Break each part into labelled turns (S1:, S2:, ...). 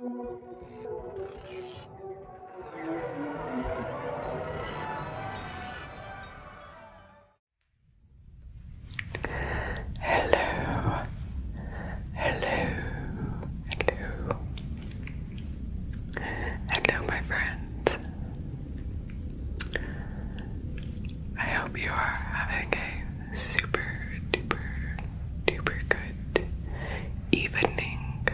S1: Hello, hello, hello, hello, my friends. I hope you are having a super duper duper good evening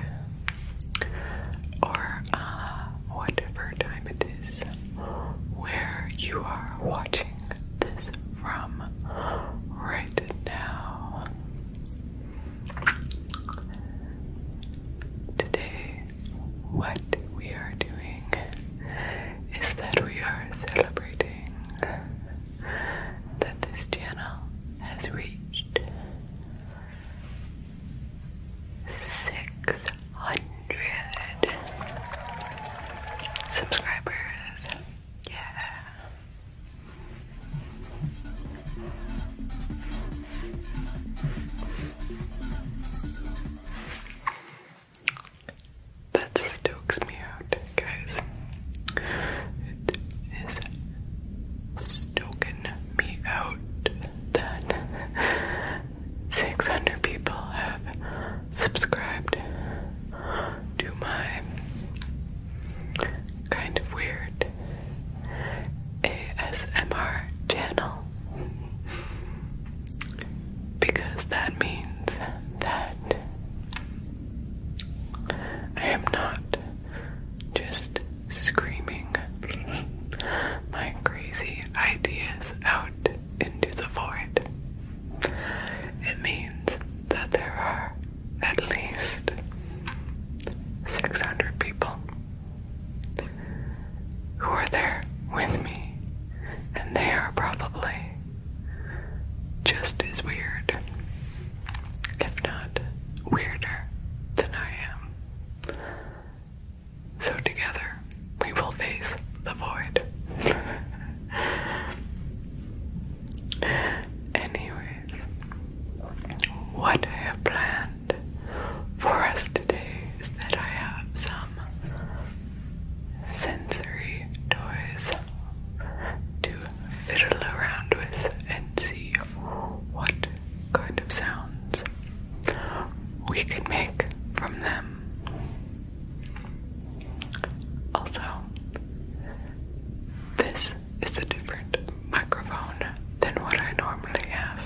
S1: or uh, whatever time it is where you are watching this from right now. Today, what we are doing is that we are celebrating that this channel has reached six hundred subscribers. Yeah. That stokes me out guys. It is stoking me out that 600 people have subscribed to my kind of weird ASMR channel because that means that I am not just screaming my crazy ideas out into the void. It means that there are at least 600 people who are there with me, and they are probably just as weird if not weirder than I am. So together we will face the void. Anyways, what I have planned for us today is that I have some sensory toys to fiddle around with and see what kind of sounds we could make from them. Also, this is a different microphone than what I normally have.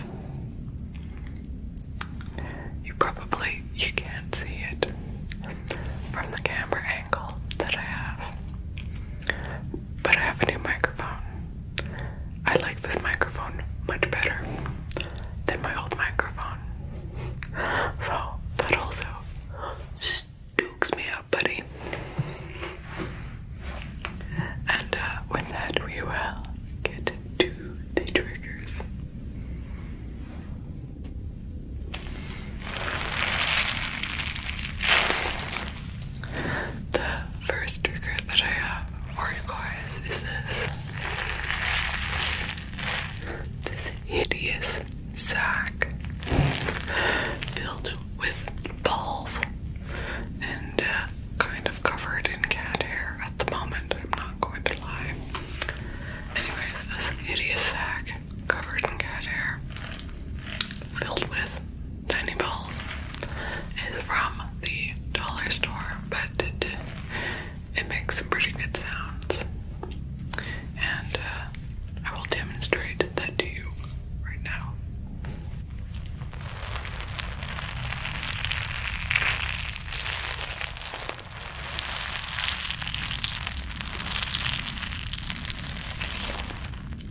S1: You probably you can't see it from the camera angle that I have but I have a new microphone. I like this microphone much better than my old microphone. So that also stooks me up, buddy. And uh, with that, we will get to the triggers. The first regret that I have for you guys is this. This hideous sack filled with balls and uh, kind of covered in cat hair at the moment, I'm not going to lie. Anyways, this hideous sack covered in cat hair filled with Tiny Balls is from the dollar store, but it, makes some pretty good sounds. And uh, I will demonstrate that to you right now.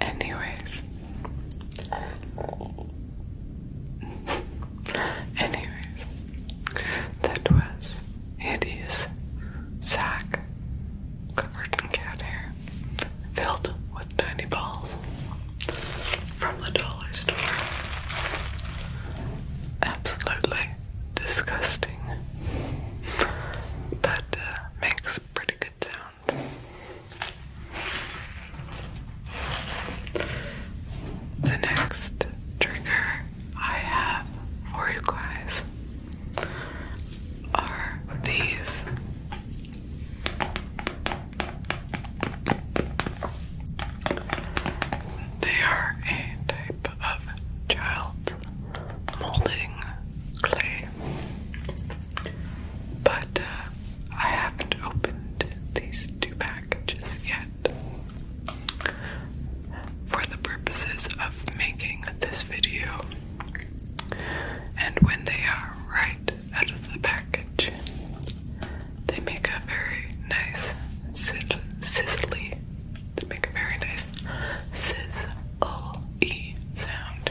S1: Anyways. Anyways, that was hideous sack covered cat hair, filled with tiny balls from the dollar store. Absolutely disgusting, but uh, makes pretty good sounds. The next trigger I have for you guys are these. They are a type of child molding clay. But uh, I haven't opened these two packages yet. For the purposes of making this video, and when they are right out of the package, they make a very nice sizzly they make a very nice sizzle sound.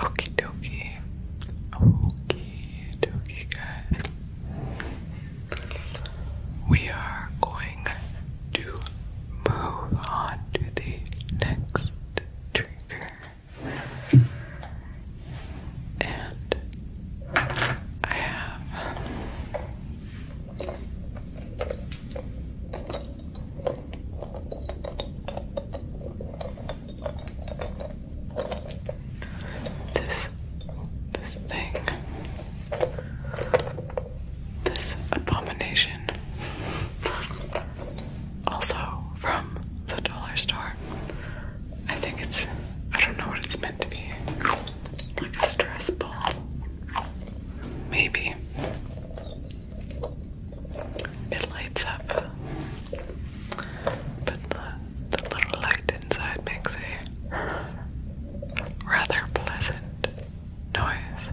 S1: Okie dokie. Okie dokie, guys. We are going to move on to the next drinker, And I have this this thing. This abomination. Also from the dollar store. I think it's, I don't know what it's meant to be. Like a stress ball. Maybe. It lights up. But the the little light inside makes a rather pleasant noise.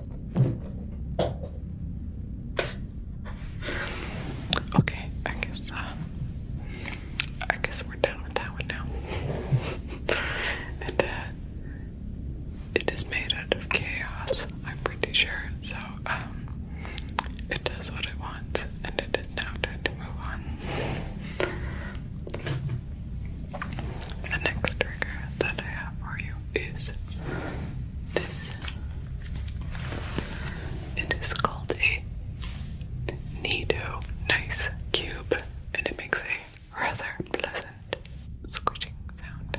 S1: Okay, I guess uh, I guess we're done with that one now. and uh, it is made out of chaos, I'm pretty sure. So um, it does what it wants, and it is now time to move on. The next trigger that I have for you is this. It is called a Nido Nice Cube, and it makes a rather pleasant squishing sound.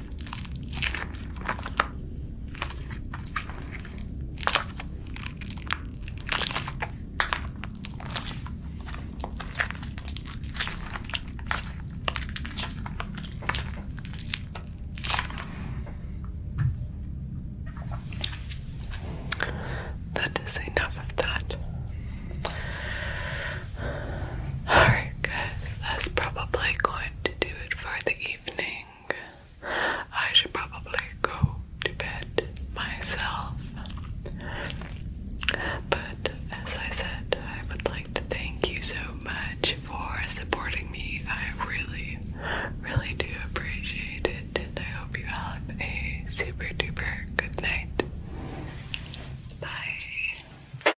S1: That is enough of that. Alright, guys, that's probably going to do it for the evening. I should probably go to bed myself. But as I said, I would like to thank you so much for supporting me. I really, really do appreciate it, and I hope you have a super duper good night. Bye.